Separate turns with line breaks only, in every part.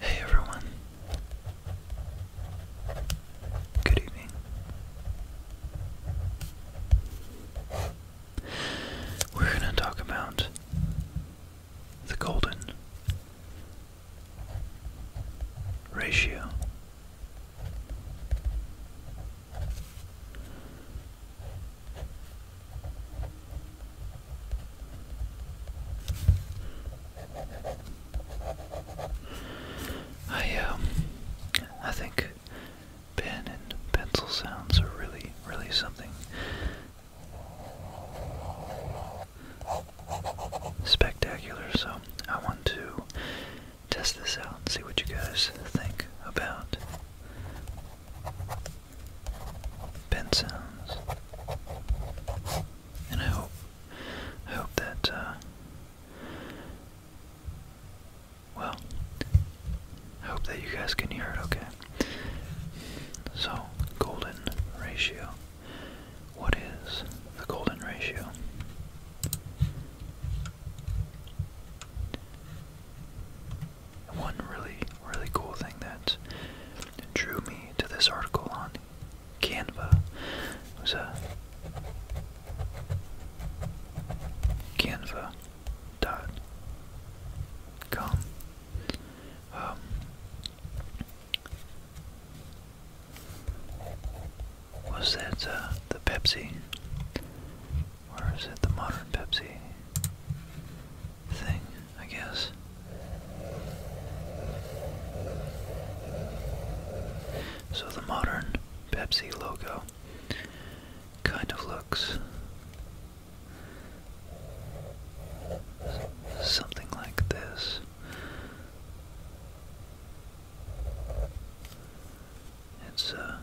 Hey everyone. Good evening. We're going to talk about the golden ratio. I um I think pen and pencil sounds are really really something spectacular so I want to test this out and see what you guys think about pen sounds. And I hope, I hope that, uh, well, I hope that you guys can hear it okay. So, golden ratio. What is the golden ratio? one really, really cool thing that drew me to this article on Canva was a uh, Canva.com. Um, was that uh, the Pepsi? Or is it the modern Pepsi thing? I guess. So the modern Pepsi logo kind of looks something like this. It's uh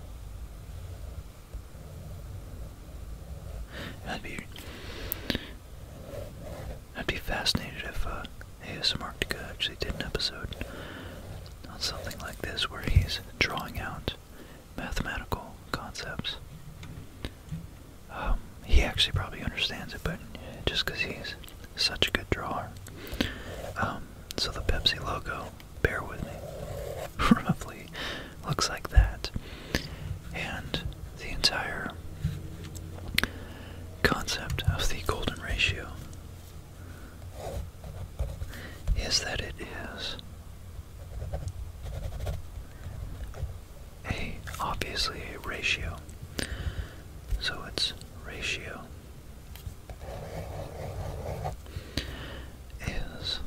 I'd be I'd be fascinated if uh, ASMR actually did an episode on something like this where he's drawing out mathematical concepts. Um, he actually probably understands it, but just because he's such a good drawer. Um, so the Pepsi logo, bear with me, roughly looks like that. And the entire concept of the golden ratio is that it is a obviously a ratio. So its ratio is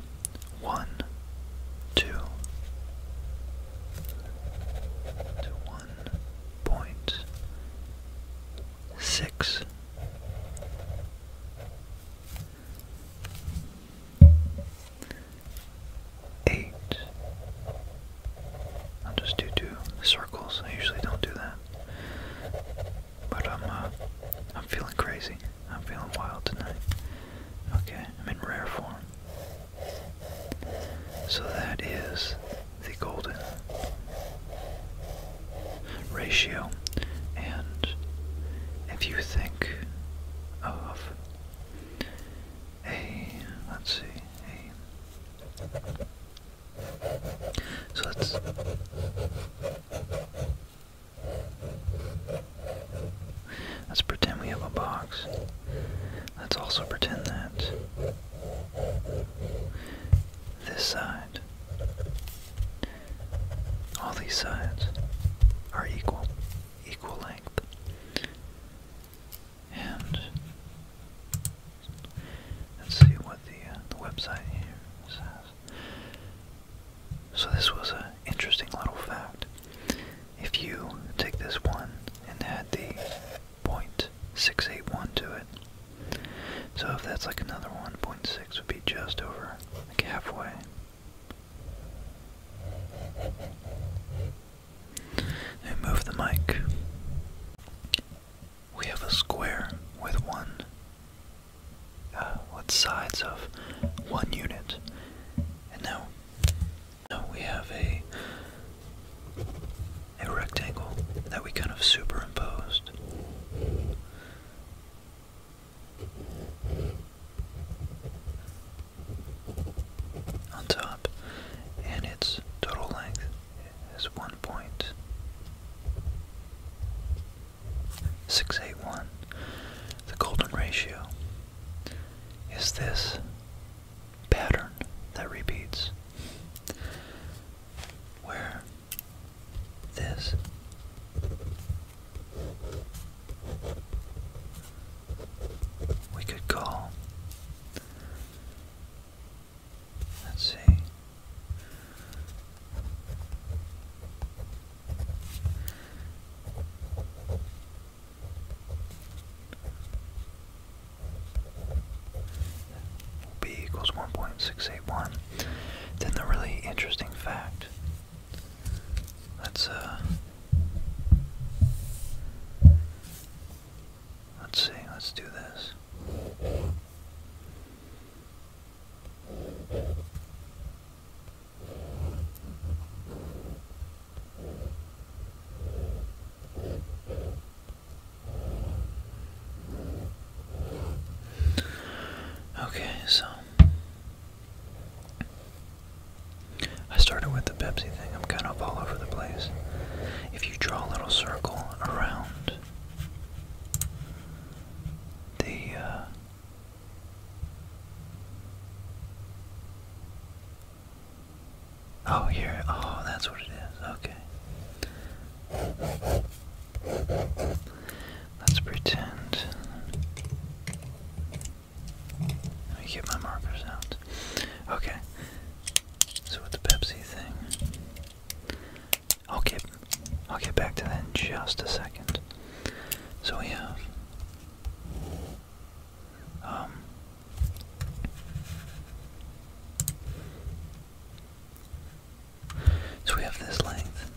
one, two, to one six. Eight. I'll just do two circles. I usually don't do that, but I'm uh, I'm feeling crazy. I'm feeling wild tonight. Okay, I'm in rare form. So that is the golden ratio. And if you think of a, let's see, a, so let's Let's pretend we have a box. Let's also pretend that this side, all these sides, are equal, equal length. And let's see what the, uh, the website here says. So this was a interesting little fact. If you take this one and add the .681 to it, so if that's like another one point six, would be just over, halfway. Now move the mic. We have a square with one, uh, with sides of one unit. And now, now we have a a rectangle that we kind of superimposed. On top, and its total length is 1.681. The golden ratio is this pattern that repeats where this we could call let's see b equals 1.681. Then the really interesting fact. Let's uh Let's see, let's do this. Okay, so I started with the Pepsi thing. I'm kind of all over the place. If you draw a little circle around the uh, Oh, here. Oh, that's what it is. Okay. Let's pretend. Let me get my markers out. Okay. So with the Pepsi thing, I'll get I'll get back to that in just a second. So we have um, so we have this length.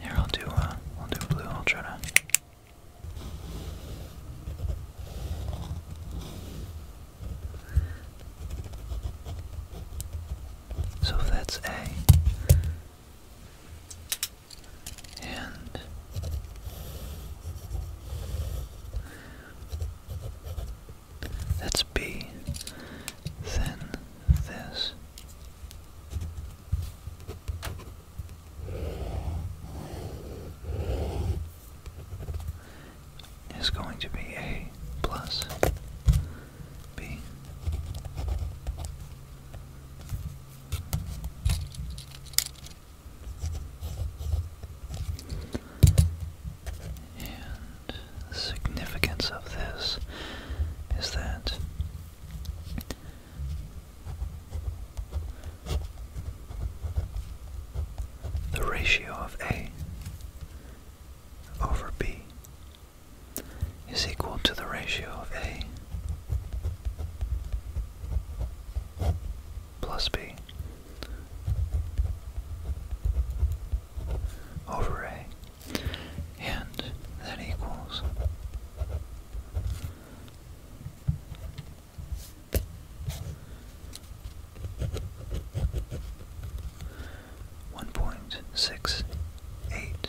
Here I'll do uh, I'll do blue. I'll try to. So that's A, and that's B, then this. Is going to be A plus B. And the significance of this is that the ratio of A over B is equal to the ratio of A plus B over A, and that equals one point six eight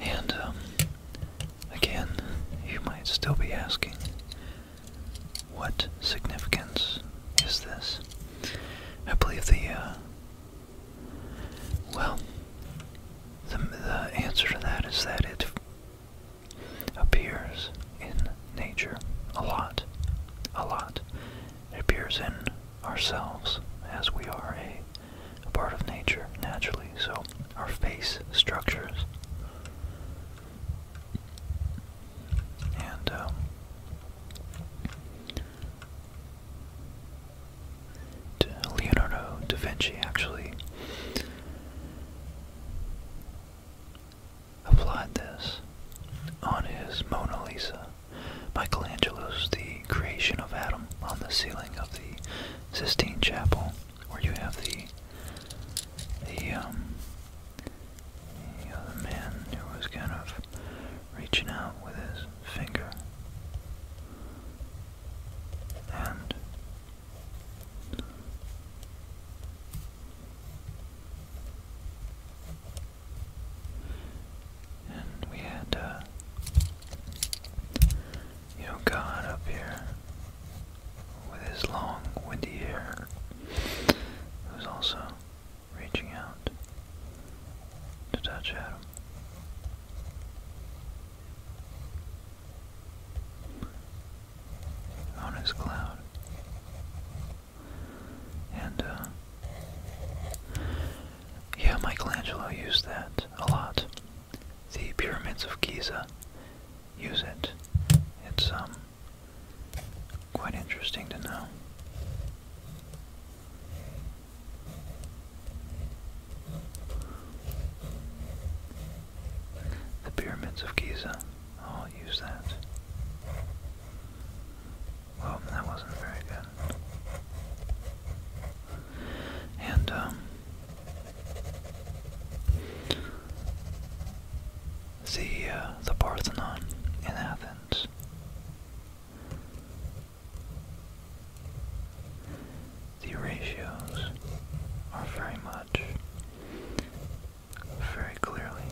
And, um, again, you might still be asking, what significance is this? I believe the, uh, well, the answer to that is that it appears in nature a lot, a lot. It appears in ourselves as we are a a part of nature naturally, so our face structures. And um, Leonardo da Vinci actually applied this on his Mona Lisa. Michelangelo's The creation of Adam on the ceiling of the Sistine Chapel, where you have the the um, man who was kind of reaching out with his finger and and we had, uh, you know, God up here with his long, windy hair, who also reaching out to touch Adam. On his cloud, and uh, yeah, Michelangelo used that a lot. The pyramids of Giza use it. It's um quite interesting to know. The pyramids of Giza. i oh, use that. Well, that wasn't very good. And, um, the, uh, the Parthenon in Athens. The ratios are very much, very clearly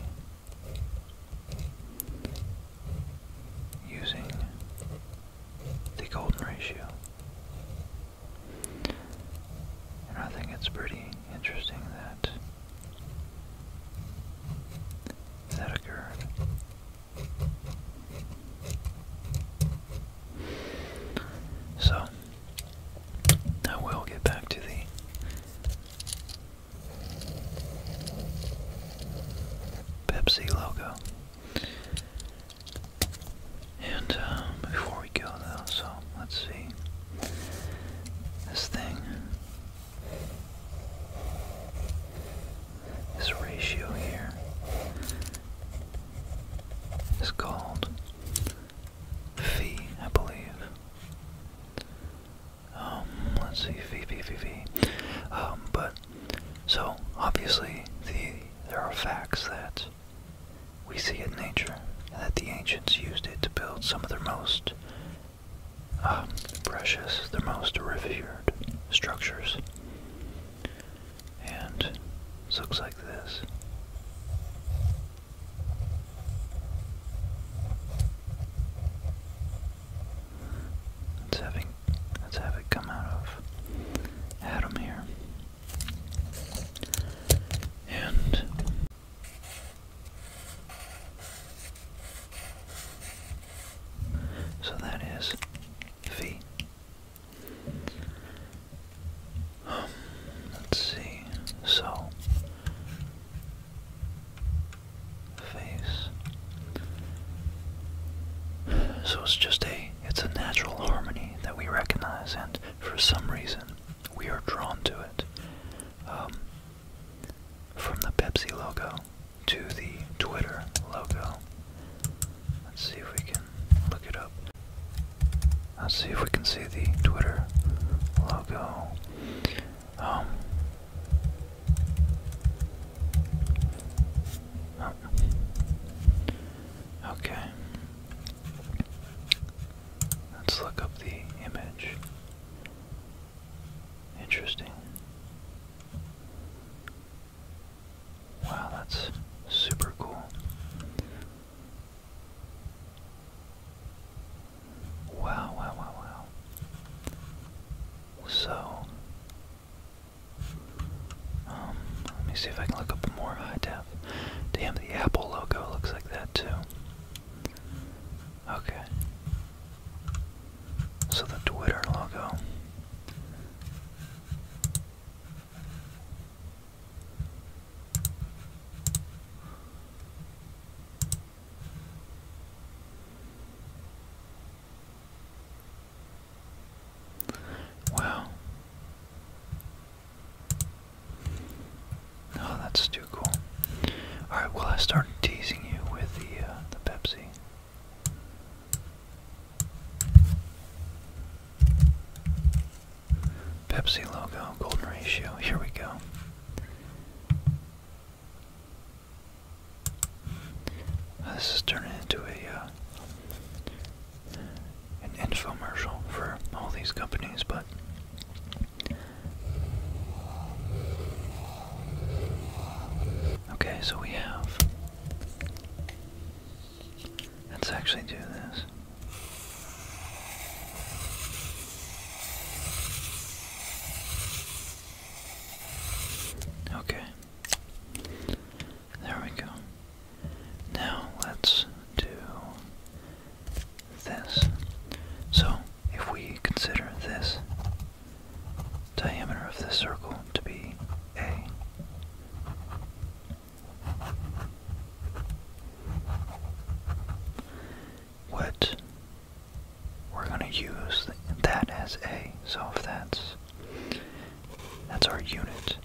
using the golden ratio. And I think it's pretty interesting that that occurred. So, I will get back to the Pepsi logo. And um, before we go though, so let's see. This thing. This ratio here is called fee, I believe. Um, let's see, fee, fee, fee, fee. Um, but so obviously, the there are facts that we see in nature, and that the ancients used it to build some of their most um, precious, their most revered structures. And this looks like this. It's having Let's have it come out of Adam here. And so that is V. Um, let's see. So face so it's just a it's a natural harmony that we recognize and for some reason we are drawn to it. Um, from the Pepsi logo to the Twitter logo. Let's see if we can look it up. Let's see if we can see the Twitter logo. Um, Okay. Let's look up the image. Interesting. Wow, that's super cool. Wow, wow, wow, wow. So, um, let me see if I can look up more high def. Damn, the Apple logo looks like that too. Okay. So the Twitter logo. Wow. Oh, that's too cool. Alright, well, I started teasing you with the, uh, the Pepsi. Pepsi logo, golden ratio. Here we go. Uh, this is turning into a uh, an infomercial for all these companies, but okay. So we have. Let's actually do this. Okay. There we go. Now let's do this. So, if we consider this diameter of this circle to be A, what we're going to use that as A, so if that's that's our unit.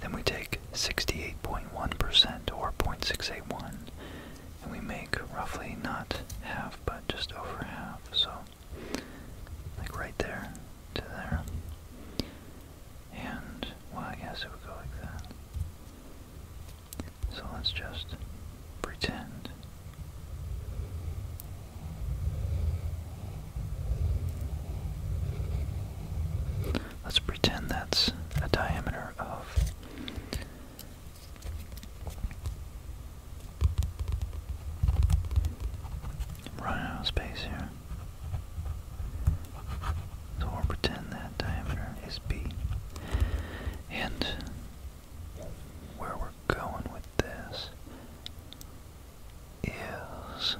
Then we take 68.1% or 0.681 and we make roughly not half but just over half. So like right there to there. And well I guess it would go like that. So let's just pretend Let's pretend that's a diameter of running out of space here. So we'll pretend that diameter is B. And where we're going with this ears.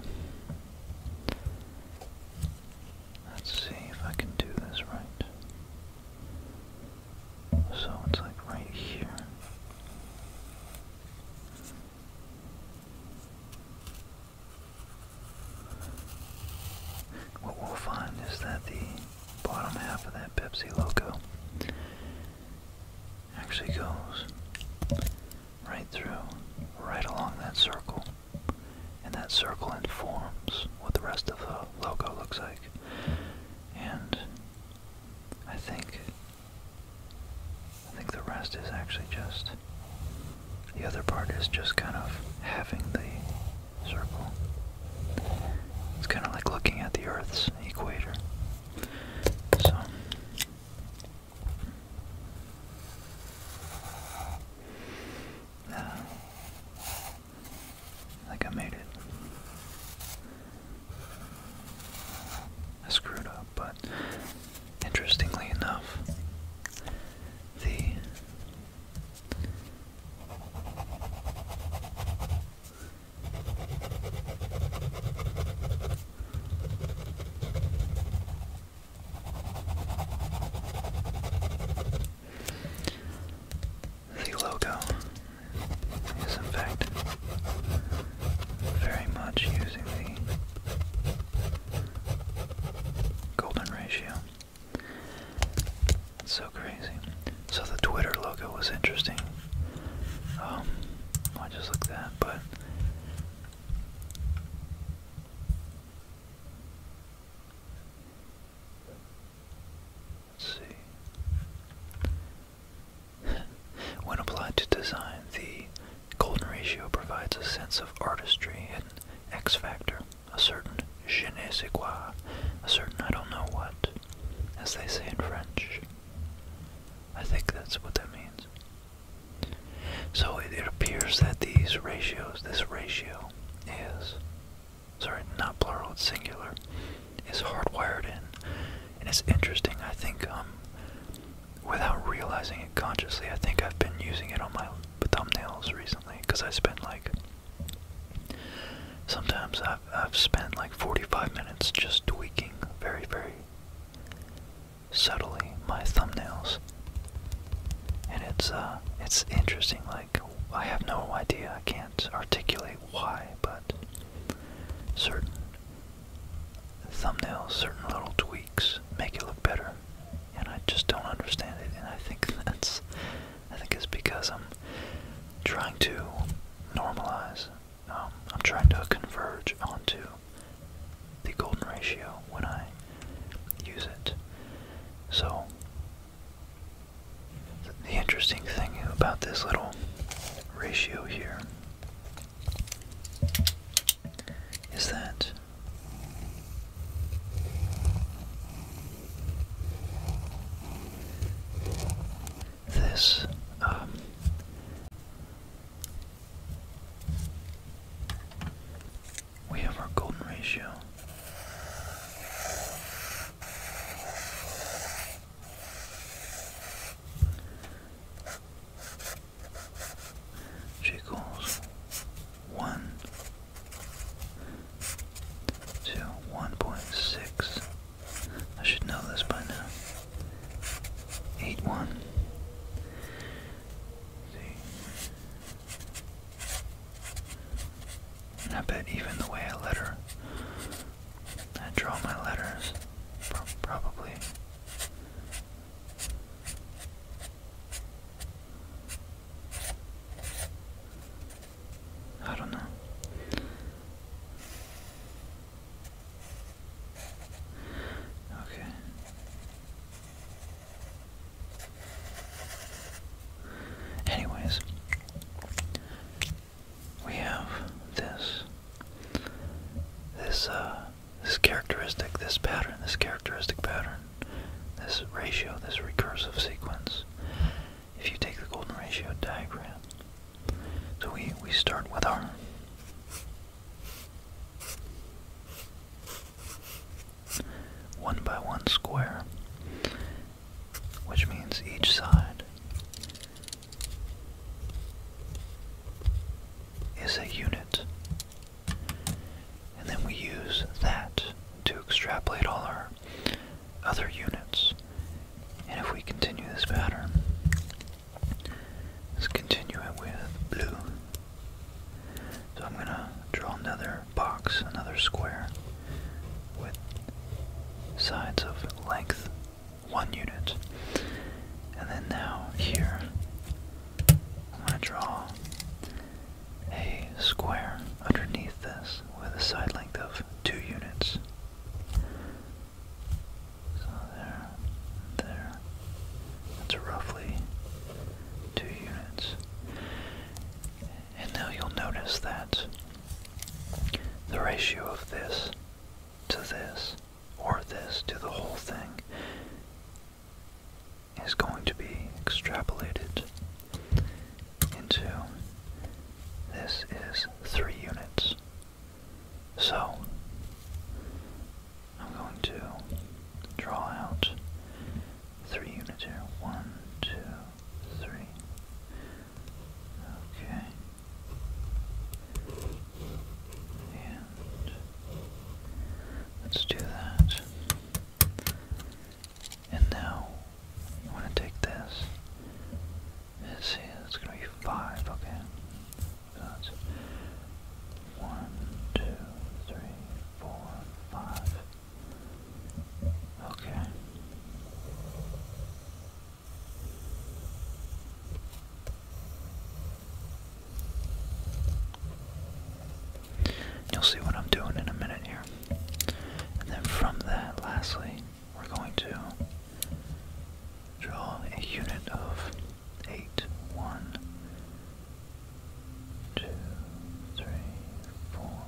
Let's see if I can do this right. So it's like right here. What we'll find is that the bottom half of that Pepsi logo actually goes right through, right along that circle. And that circle informs what the rest of the logo looks like. And I think I think the rest is actually just the other part is just kind of having the circle. It's kind of like looking at the Earth's equator. So uh, I think I made it. I screwed up, but interestingly enough, the the logo is, in fact, very much using the golden ratio. It's so crazy. So the Twitter logo was interesting. Um, just looked that, but when applied to design, the golden ratio provides a sense of artistry and X factor, a certain je ne sais quoi, a certain I don't know what, as they say in French. I think that's what that means. So it, appears that these ratios, this ratio is, sorry, not plural, it's singular, is hardwired in. And it's interesting, I think, um, without realizing it consciously, I think I've been using it on my thumbnails recently because I spend like, sometimes I've spent like 45 minutes just tweaking very, very subtly my thumbnails. And it's uh it's interesting like I have no idea. I can't articulate why, but certain thumbnails, certain little tweaks make it look better. And I just don't understand it. And I think that's I think it's because I'm trying to normalize um, I'm trying to converge onto the golden ratio when I use it. So, the interesting thing about this little ratio here is that this um, we have our golden ratio. equals one I should know this by now. 8 1. See. I bet even the way I letter, I draw my letters, probably. I don't know. Okay. Anyways, we have this this uh this characteristic, this pattern, this characteristic pattern, this ratio, this recursive sequence. If you take the golden ratio diagram so we, we start with our one by one square, which means each side is a unit. And then we use that to extrapolate all our other units. And if we continue this pattern, Let's continue it with blue. So I'm gonna draw another box, another square with sides of length one unit. And then now here I'm gonna draw a square underneath this with a side length of two units. So there, and there. That's roughly two units. And now you'll notice that the ratio of this to this, or this to the whole thing, is going to be extrapolated into this is three units. So, I'm going to draw out three units here. One, two, three. Okay. And let's do that. And now I want to take this Let's see, it's gonna be five, okay. That's one, two, three, four, five. Okay. You'll see what I'm doing in a minute here. And then from that, lastly, we're going to draw a unit of eight, one, two, three, four,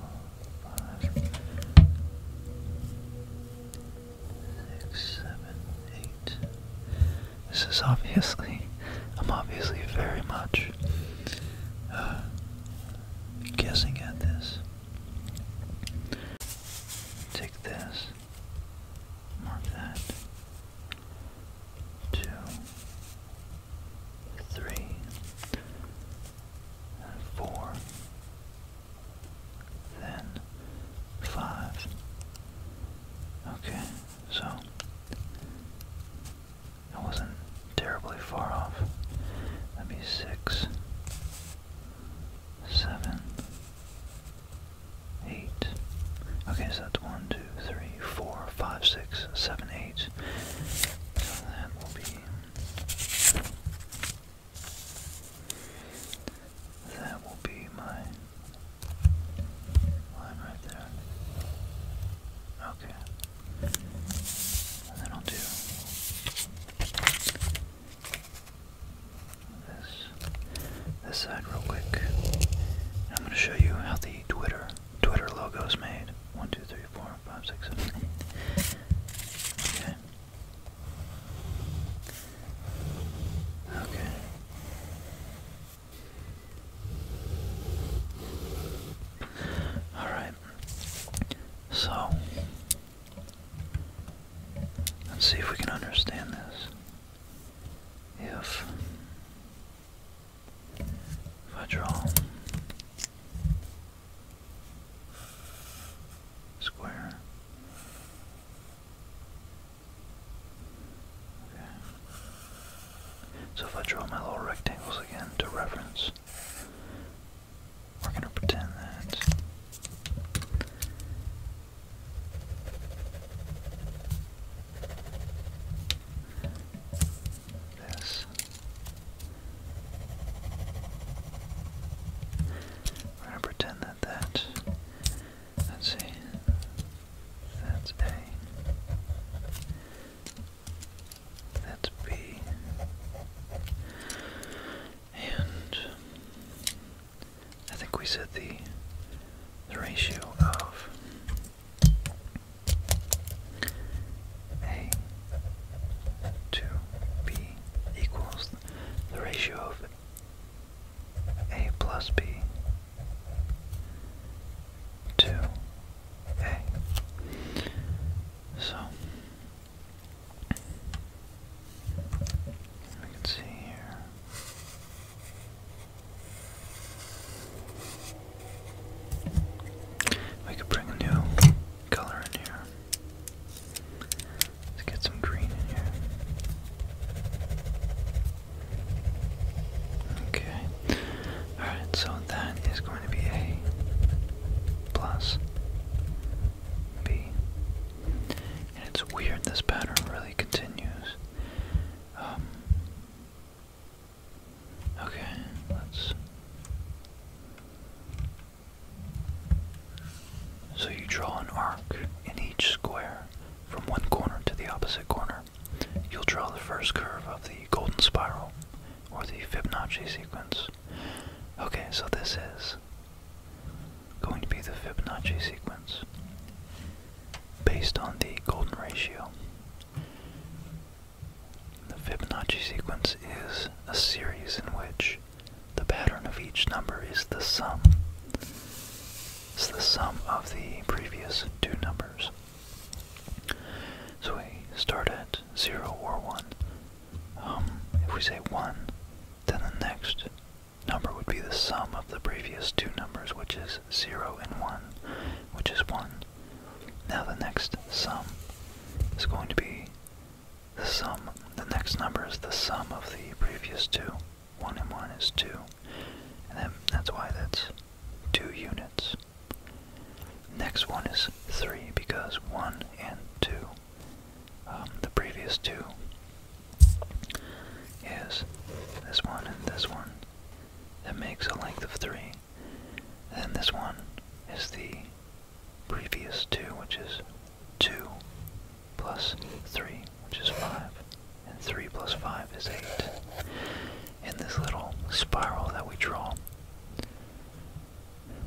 five, six, seven, eight. This is obviously, I'm obviously very much uh, guessing at this. Take this. Mark that. Two, then five. Okay, so I wasn't terribly far off. That'd be six, seven, eight. Okay, so that's one, two, three, four, five, six, seven, eight. So that will be. That will be my line right there. Okay. then I'll do this this side real quick. I'm going to show you how the Twitter Twitter logo is made. One, two, three, four, five, six, seven, eight. Okay. Okay. Alright. So, let's see if we can understand this if I draw square. Okay. So if I draw my little rectangles again to reference, we're going to pretend that this. We're going to pretend that that, let's see, that's A, that's B, and I think we said the ratio of A to B equals the ratio of A plus B to A. So I can see here. We could bring a new color in here. Let's get some green in here. Okay. Alright, so that is going to be A plus B it's weird, this pattern really continues. Um, okay, let's. So you draw an arc in each square from one corner to the opposite corner. You'll draw the first curve of the golden spiral or the Fibonacci sequence. Okay, so this is going to be the Fibonacci sequence based on the golden ratio. The Fibonacci sequence is a series in which the pattern of each number is the sum. It's the sum of the previous two numbers. So we start at 0 or 1. Um, if we say 1, then the next number would be the sum of the previous two numbers, which is 0 and 1, which is 1. Now the next sum is going to be the sum. The next number is the sum of the previous two. 1 and 1 is 2. And then that's why that's 2 units. Next one is 3 because 1 and 2, um, the previous two is this one and this one. That makes a length of three. Then this one is the previous two, which is two plus three, which is five. And three plus five is eight. In this little spiral that we draw.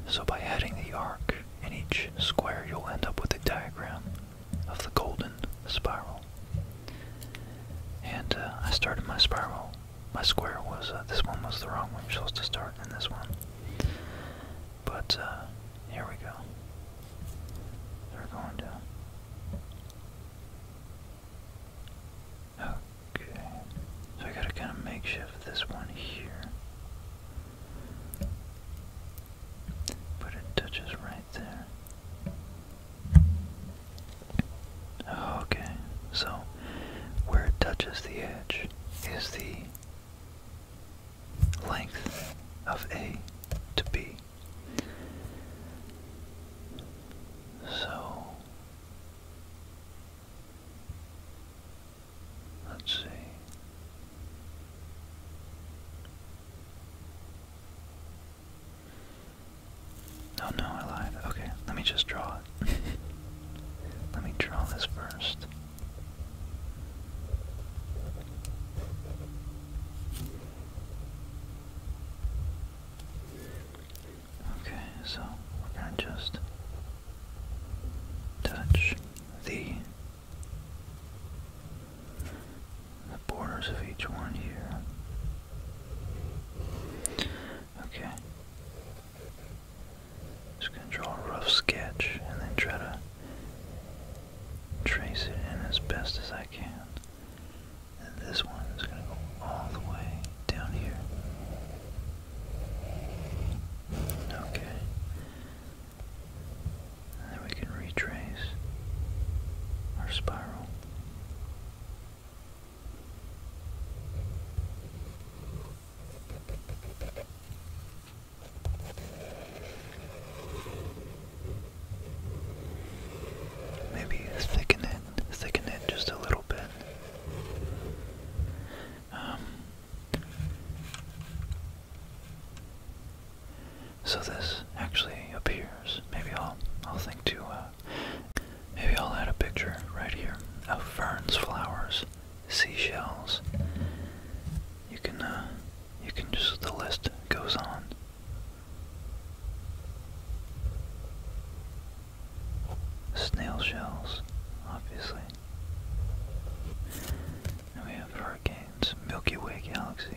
So by adding the arc in each square, you'll end up with a diagram of the golden spiral. And uh, I started my spiral. My square was, uh, this one was the wrong one. supposed to start in this one. But uh, here we go. They're going down. Okay. So I gotta kind of makeshift this one here. But it touches right there. Okay, so where it touches the edge is the length of A to B. So let's see. Oh no, I lied. Okay, let me just draw it. let me draw this first. Okay, so we just touch the the borders of each one here. Okay. Just gonna draw a rough sketch and then try to trace it in as best as I can. And this one is gonna go all the way down here. Okay then we can retrace our spiral. Maybe thicken it, thicken it just a little bit. Um, so this actually appears. Maybe I'll I'll think to uh, maybe I'll add a picture right here of ferns, flowers, seashells. You can uh, you can just the list goes on. Snail shells, obviously. And we have hurricanes, Milky Way galaxies.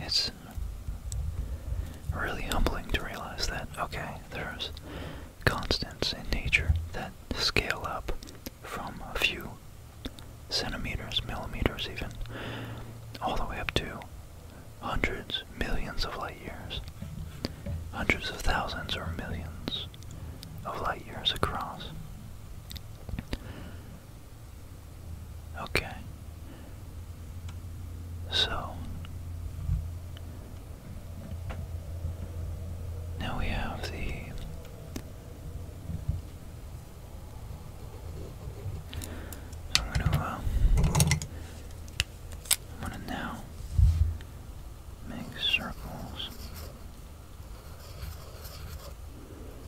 It's really humbling to realize that, okay, there's constants in nature that scale up from a few centimeters, millimeters even, all the way up to hundreds, millions of light years, hundreds of thousands or millions of light years across. Okay. So now we have the I'm gonna uh, I'm gonna now make circles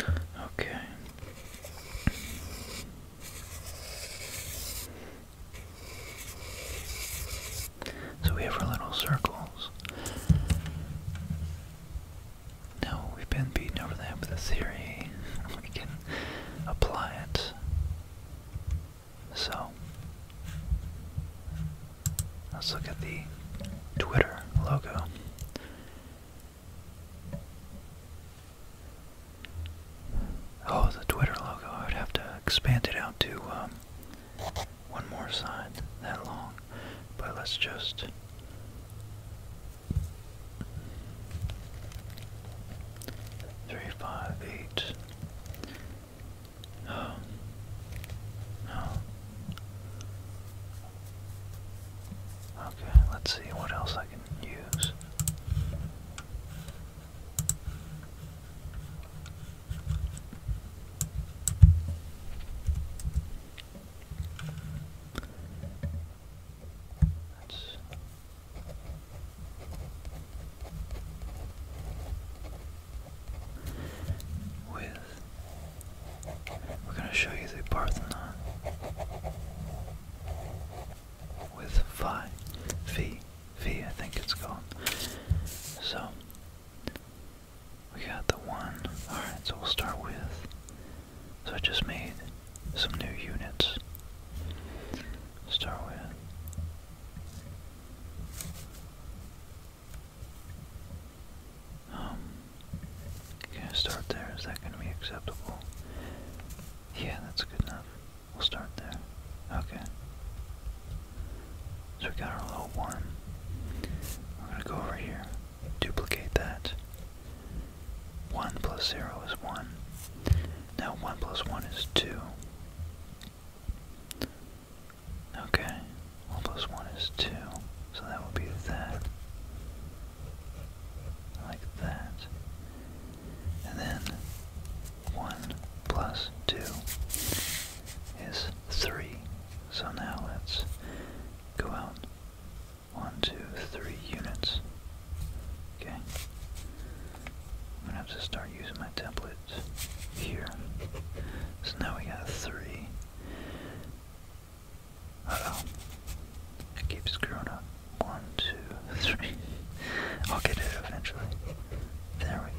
Okay. So we have our little circles. Now we've been beaten over the with a theory. We can apply it. So let's look at the Twitter logo. Oh, the Twitter logo. I would have to expand it out to um, one more side that long. But let's just. Three, five, eight. Um, no. Okay, let's see what else I can use. That's with we're going to show you the Parthenon with phi, phi, phi, I think it's called. So, we got the one. Alright, so we'll start with. So I just made some new units. Start with. Um, Okay, start there. Is that going to be acceptable? Yeah, that's good enough. We'll start there. Okay. So we got our little one. We're going to go over here, duplicate that. 1 plus 0 is 1. Now 1 plus 1 is 2. Okay, 1 plus 1 is 2. So that would be that like that. And then 1 plus 2 is 3. So now let's go out one, two, three units. Okay. I'm going to have to start using my template here. So now we got 3. Uh oh. I screwing up. One, two, three. I'll get it eventually. There we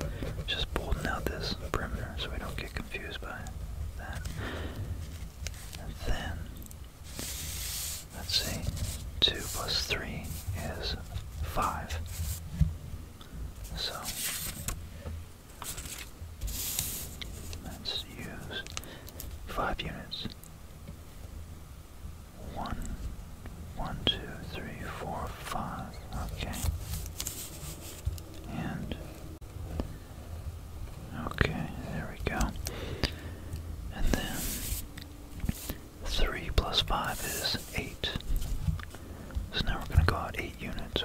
go. Just bolting out this perimeter so we don't get confused by that. And then, let's see, 2 plus 3 is 5. So, Let's use five units. One, one, two, three, four, five. Okay. And okay, there we go. And then three plus five is eight. So now we're going to go out eight units.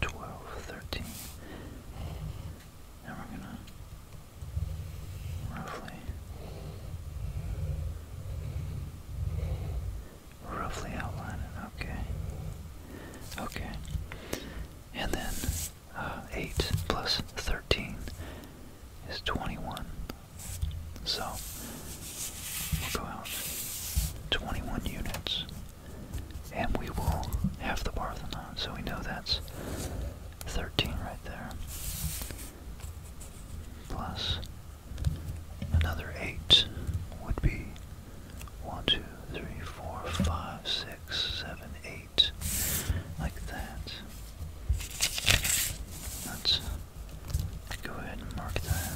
12, 13. And we're gonna roughly roughly outline it, okay. Okay. And then uh, 8 plus 13 is 21. So we'll go out 21 units and we will have the Parthenon. So we know that's 13 right there. Plus another 8 would be 1, 2, 3, 4, 5, 6, 7, 8. Like that. Let's go ahead and mark that.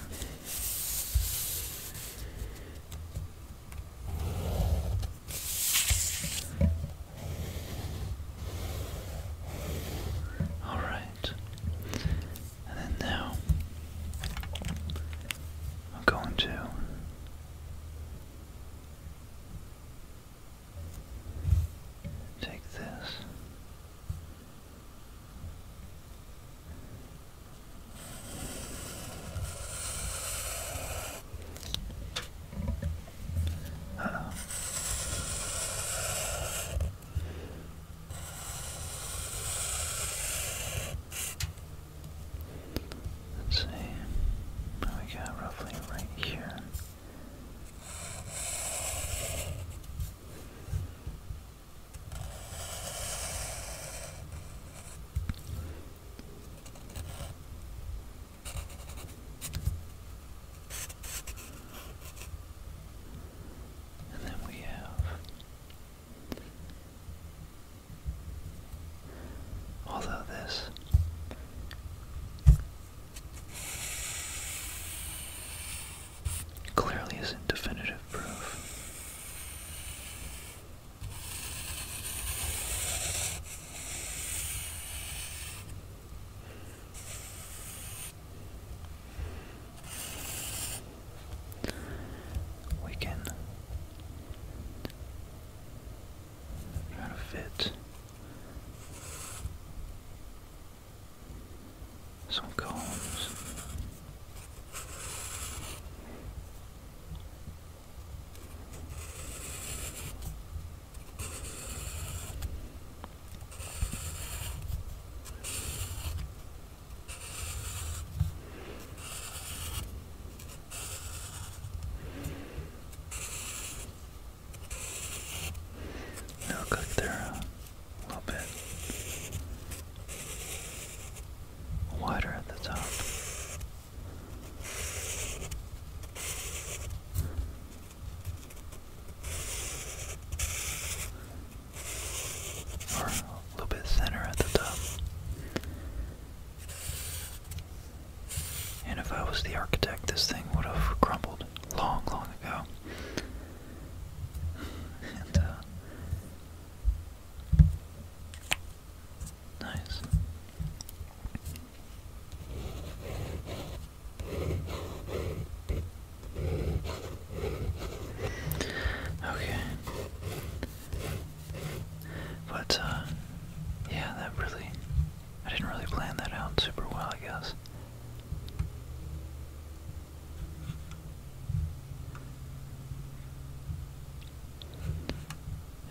All right, and now I'm going to take this oh Let's see. we got roughly right here. And then we have although this Clearly isn't definitive proof. We can try to fit some cones now cook there a little bit wider at the top. Or a little bit thinner at the top. And if I was the architect, this thing would have crumbled long, long ago. Uh, Nice. Okay. But, uh, yeah, that really. I didn't really plan that out super well, I guess.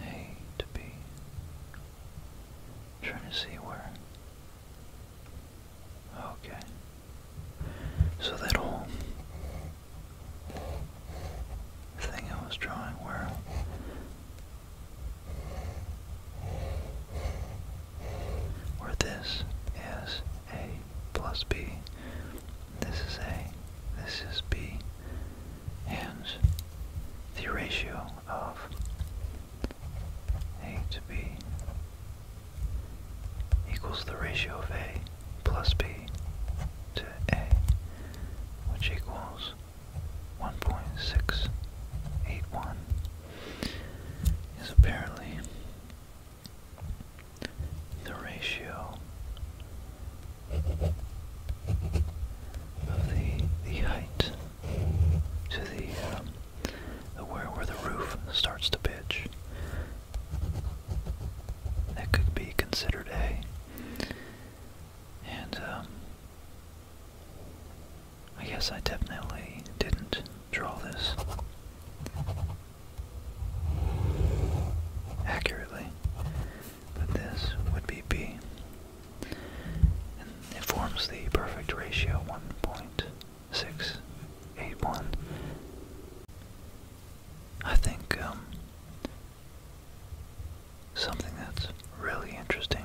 A to B trying to see where. Okay. So that whole thing I was drawing where where this is a plus b, this is a, this is b, hence the ratio of a to b equals the ratio of a plus b to a, which equals 1.681 is apparently the ratio the the height to um, the where where the roof starts to pitch. That could be considered a. And um, I guess I definitely didn't draw this accurately but this would be B. And it forms the perfect ratio 1.681. I think um, something that's really interesting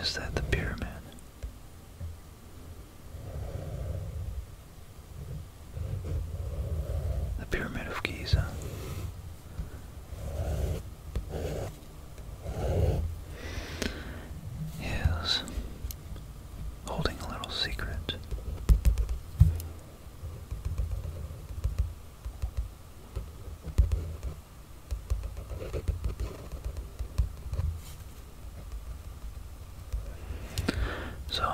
is that the pyramid the Pyramid of Giza. Is holding a little secret. So,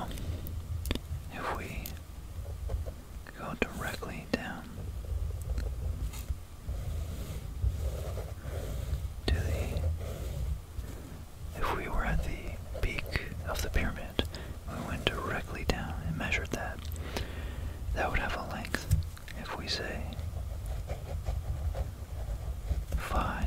if we go directly down to the. If we were at the peak of the pyramid, we went directly down and measured that, that would have a length, if we say 5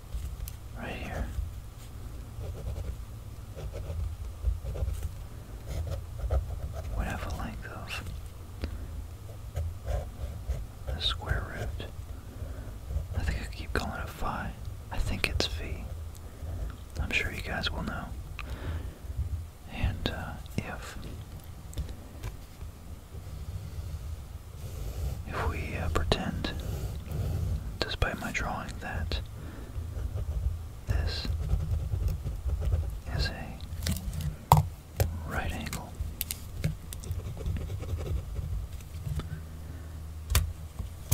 Right here. Would have a length of the square root. I think I keep calling it phi. I think it's phi. I'm sure you guys will know. And uh, if if we uh, pretend, despite my drawing, that this is a right angle.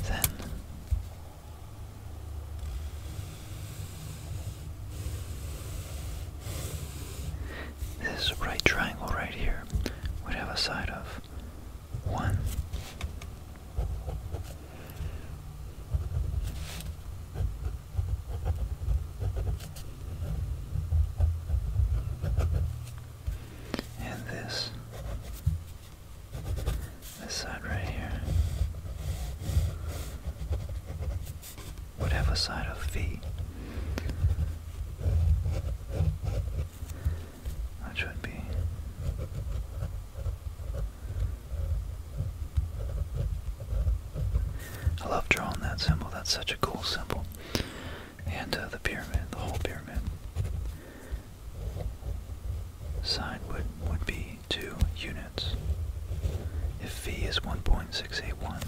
Then this right triangle right here would have a side of 1. And this, this side right here, would have a side of V. That should be. I love drawing that symbol. That's such a cool symbol. And uh, the pyramid, the whole pyramid. Sine would, would be 2 units. If V is 1.681,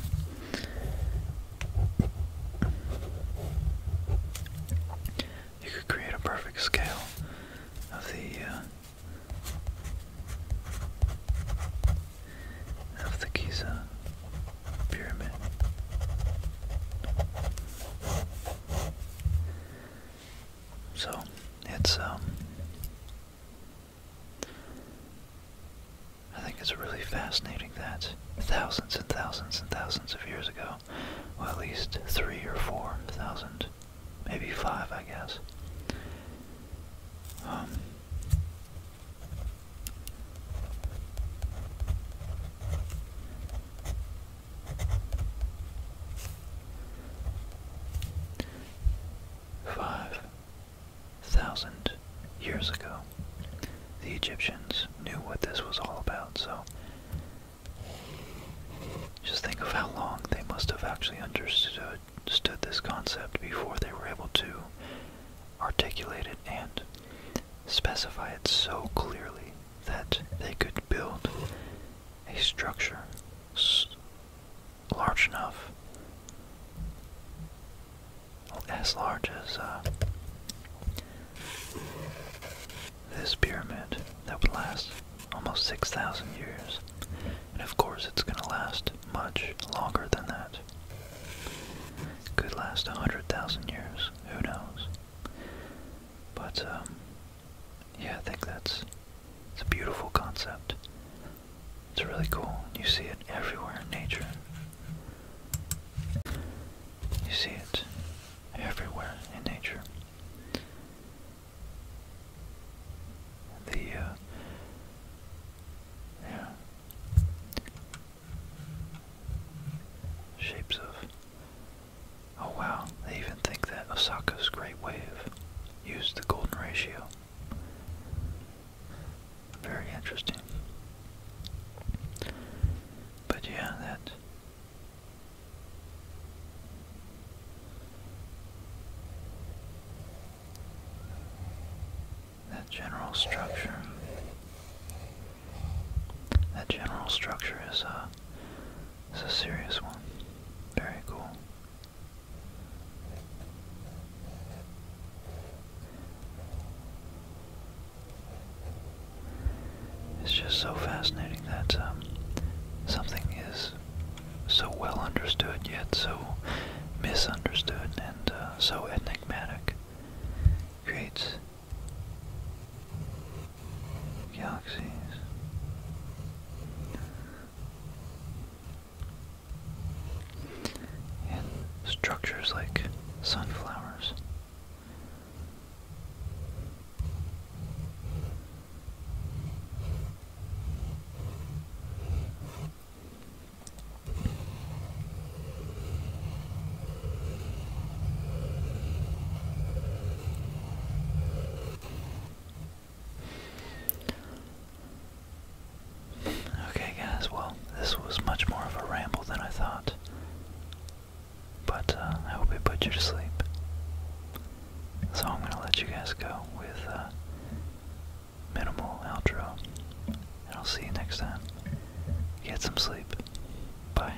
you could create a perfect scale of the uh, of the Giza pyramid. So it's um I think it's really fascinating that thousands and thousands and thousands of years ago, or at least three or four thousand, maybe five I guess, um, Five thousand years ago, the Egyptians knew what this was all about, so just think of how long they must have actually understood this concept before they were able to articulate it and specify it so clearly that they could build a structure large enough as large as uh, this pyramid that would last almost 6,000 years. And of course, it's going to last much longer than that. Could last 100,000 years, who knows? But, um, yeah, I think that's it's a beautiful concept. It's really cool. You see it everywhere in nature. You see it everywhere in nature. The, uh, yeah, shapes of, oh wow, they even think that Osaka's great wave used the golden ratio. Very interesting. But yeah, that that general structure that general structure is a uh, is a serious one. Very cool. It's just so fascinating that um, something is so well understood yet so misunderstood and uh, so enigmatic creates galaxies. And structures like sunflowers Okay, guys, well, this was much more of a ramble than I thought. But uh, I hope it put you to sleep. So I'm going to let you guys go with uh, minimal outro. And I'll see you next time. Get some sleep. Bye.